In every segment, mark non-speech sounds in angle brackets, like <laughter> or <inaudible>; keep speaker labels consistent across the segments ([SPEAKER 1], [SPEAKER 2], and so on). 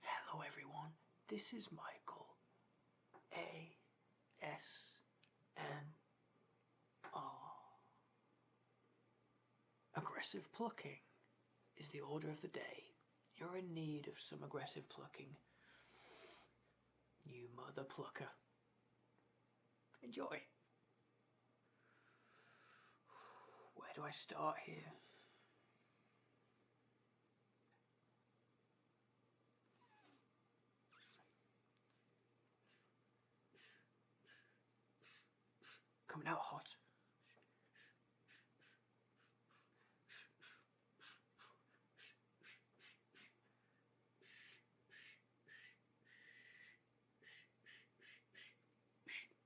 [SPEAKER 1] Hello everyone, this is Michael ASMR. Aggressive plucking is the order of the day. You're in need of some aggressive plucking. You mother plucker. Enjoy. Where do I start here? Coming out hot.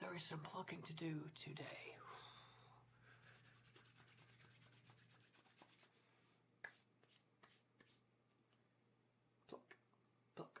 [SPEAKER 1] There is some plucking to do today. Pluck, pluck,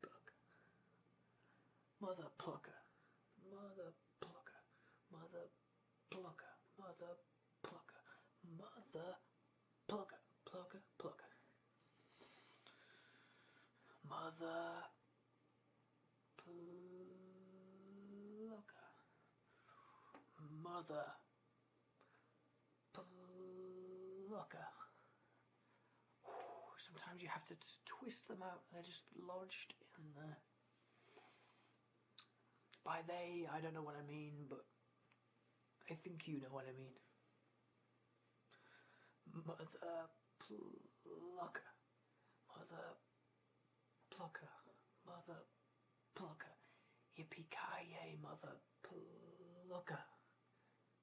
[SPEAKER 1] Pluck. Mother plucker. Mother plucker. Mother plucker. Mother plucker. Mother plucker. Plucker. Plucker. Mother plucker. Mother blocker. Sometimes you have to twist them out. They're just lodged in there. By they, I don't know what I mean, but I think you know what I mean. Mother plucker. Mother plucker. Mother plucker. Yippee-ki-yay, mother plucker.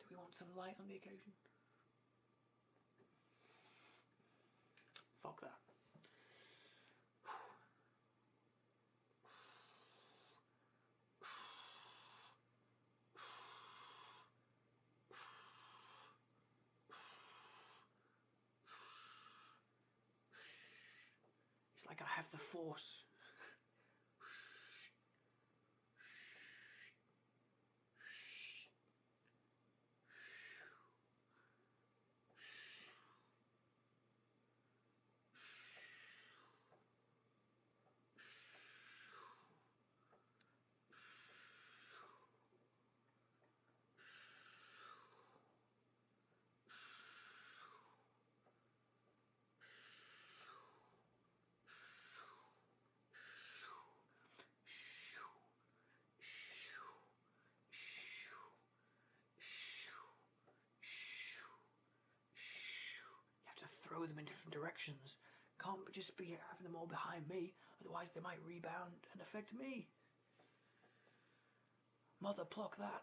[SPEAKER 1] Do we want some light on the occasion? Fuck that. It's like I have the force. You have to throw them in different directions. Can't just be having them all behind me, otherwise they might rebound and affect me. Mother, pluck that.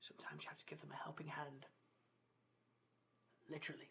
[SPEAKER 1] Sometimes you have to give them a helping hand. Literally.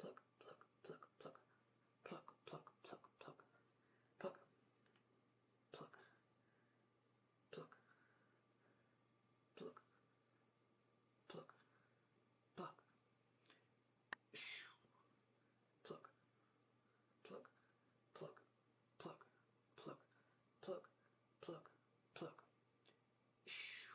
[SPEAKER 1] pluck, pluck, pluck, pluck, pluck, pluck, pluck, pluck, pluck, pluck, pluck, pluck, pluck, pluck, shoo, pluck, pluck, pluck, pluck, pluck, pluck, pluck, pluck, shoo.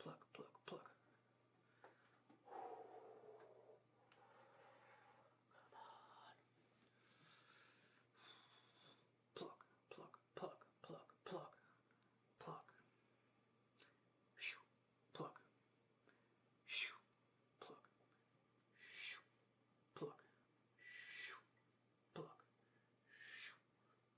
[SPEAKER 1] Pluck, pluck, pluck. Come on. Pluck, pluck, pluck, pluck, pluck, pluck. Shoo, pluck. Shoo, pluck. Shoo, pluck. Shoo, pluck. Shoo,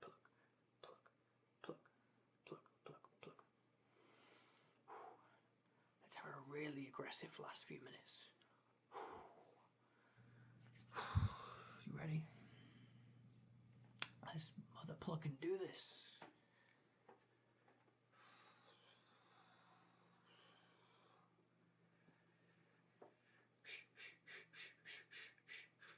[SPEAKER 1] pluck, pluck, pluck, pluck, pluck, pluck. Let's have a really aggressive last few minutes. You ready? Let's mother pluck and do this.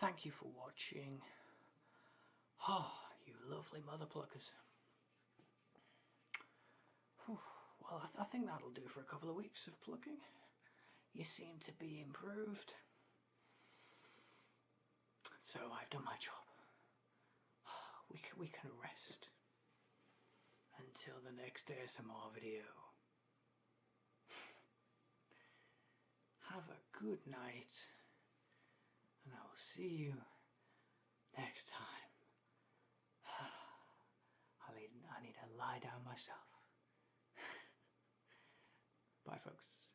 [SPEAKER 1] Thank you for watching. Ah, you lovely mother pluckers. Well, I think that'll do for a couple of weeks of plucking. You seem to be improved. So I've done my job. <sighs> We can, we can rest until the next ASMR video. <sighs> Have a good night, and I will see you next time. <sighs> I need, I need to lie down myself. <laughs> Bye, folks.